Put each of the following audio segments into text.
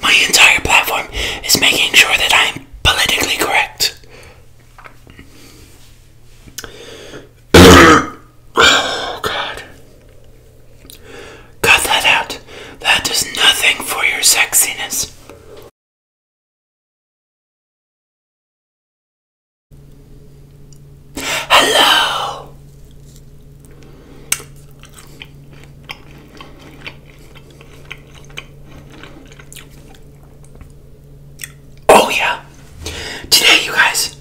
My entire platform is making sure that I'm politically correct. oh, God. Cut that out. That does nothing for your sexiness. Hello! Oh, yeah. Today, you guys,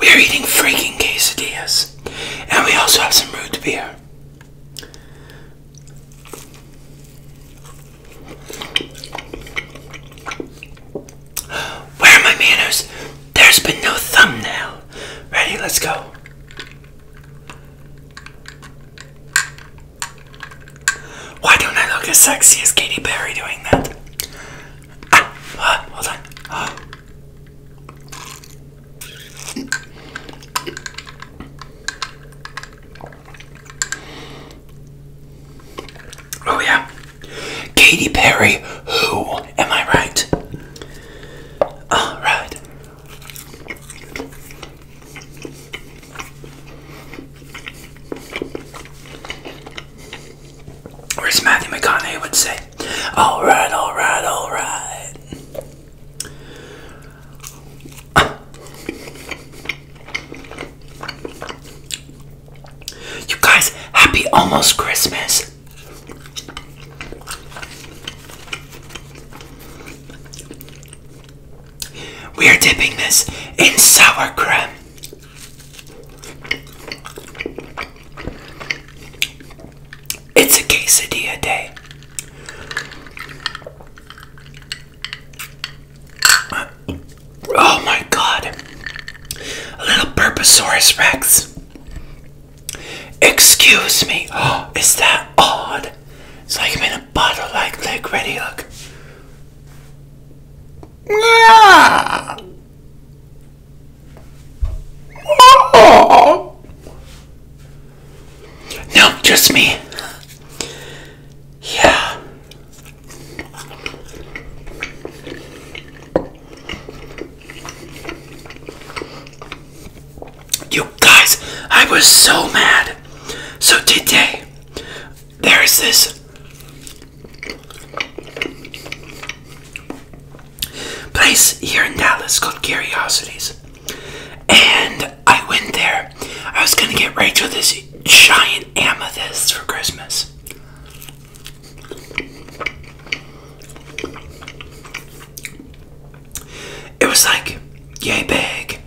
we are eating freaking quesadillas. And we also have some root beer. Where are my manners? There's been no thumbnail. Ready? Let's go. Why don't I look as sexy as Katy Perry doing that? Ah, ah, hold on. Ah. Oh, yeah. Katy Perry, who? Am I right? Alright. Or Matthew McConaughey would say, all right, all right, all right. You guys, happy almost Christmas. We are dipping this in sour cream. It's a quesadilla day. Oh my god. A little Burposaurus Rex. Excuse me. Oh, is that odd? It's like I'm in a bottle, like look, ready, look. Yeah. Oh. No, just me. Yeah. You guys, I was so mad. So today, there's this place here in Dallas called Curiosities. And I went there. I was gonna get Rachel this giant amethyst for Christmas it was like yay big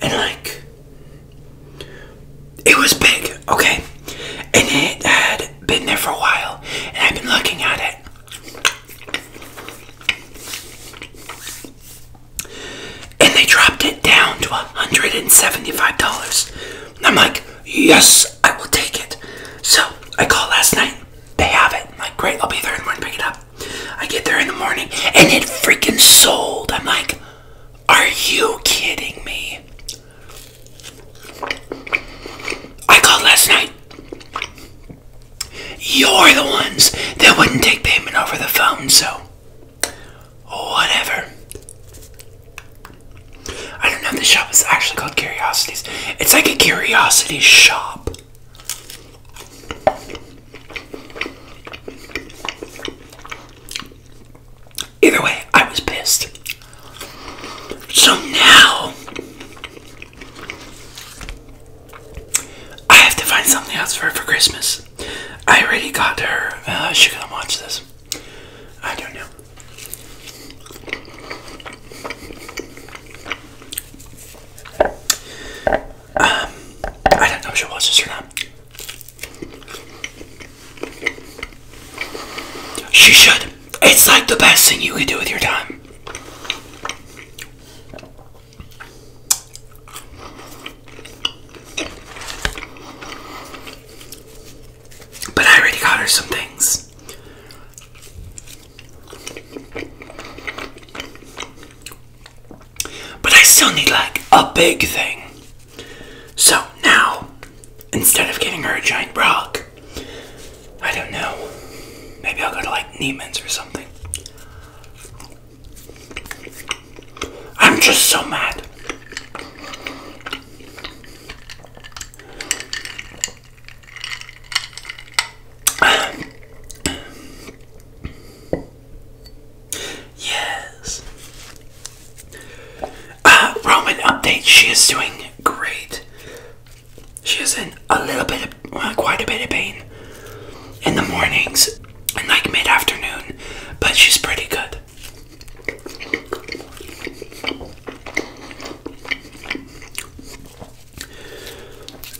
and like it was big okay and it had been there for a while and I've been looking at it and they dropped it down to $175 I'm like yes I will take it so I called last night they have it like great I'll be there in and run pick it up I get there in the morning and it freaking sold. I'm like, are you kidding me? I called last night. You're the ones that wouldn't take payment over the phone, so whatever. I don't know if shop is actually called Curiosities. It's like a curiosity shop. Either way, I was pissed. So now I have to find something else for her for Christmas. I already got her. Uh, She's gonna watch this. I don't know. Um, I don't know if she watches this or not. She should. It's like the best thing you can do with your time. But I already got her some things. But I still need like a big thing. So now, instead of giving her a giant rock, I don't know. Maybe I'll go to like Neiman's or something. I'm just so mad. Yes. Uh, Roman update. She is doing great. She is in a little bit of, uh, quite a bit of pain in the mornings and like mid afternoon, but she's pretty good.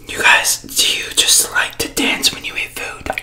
You guys, do you just like to dance when you eat food?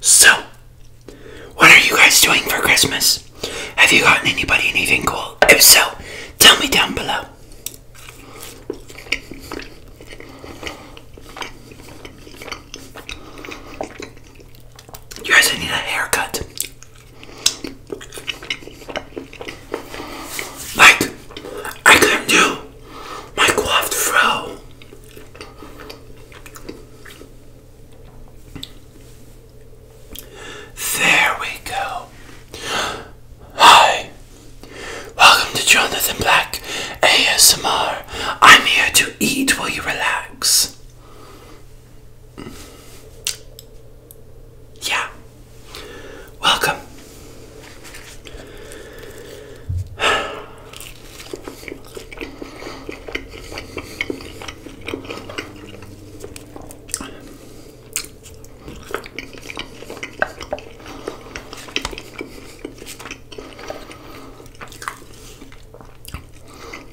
So, what are you guys doing for Christmas? Have you gotten anybody anything cool? If so, tell me down below. You guys, I need a haircut. Like, I can do my coiffed fro. There we go. Hi, welcome to Jonathan Black ASMR. I'm here to eat while you relax. Yeah. Welcome.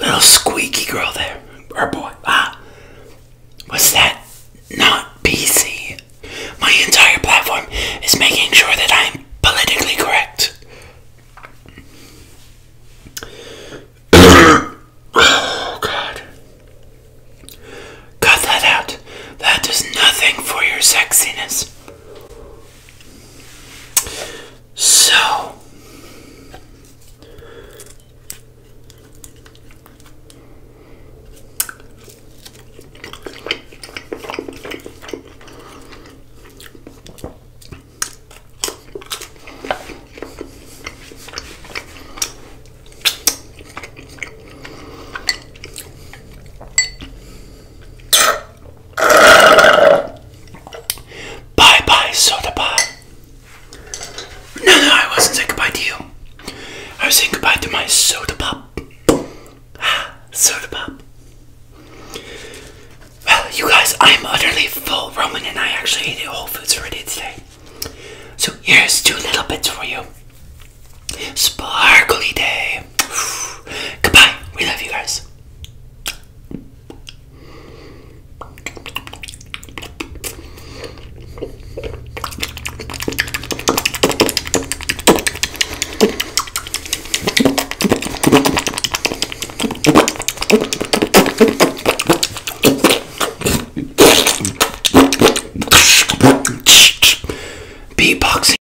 Little squeaky girl there. Or boy. Ah. Was that not PC? My entire platform is making sure that I'm politically correct. oh, God. Cut that out. That does nothing for your sexiness. So, Bye bye, soda pop. No, no, I wasn't saying goodbye to you. I was saying goodbye to my soda pop. soda pop. Well, you guys, I'm utterly full, Roman, and I actually ate at Whole Foods for today. So here's two little bits for you. Sparkly day. Goodbye. We love you guys. Beatboxing.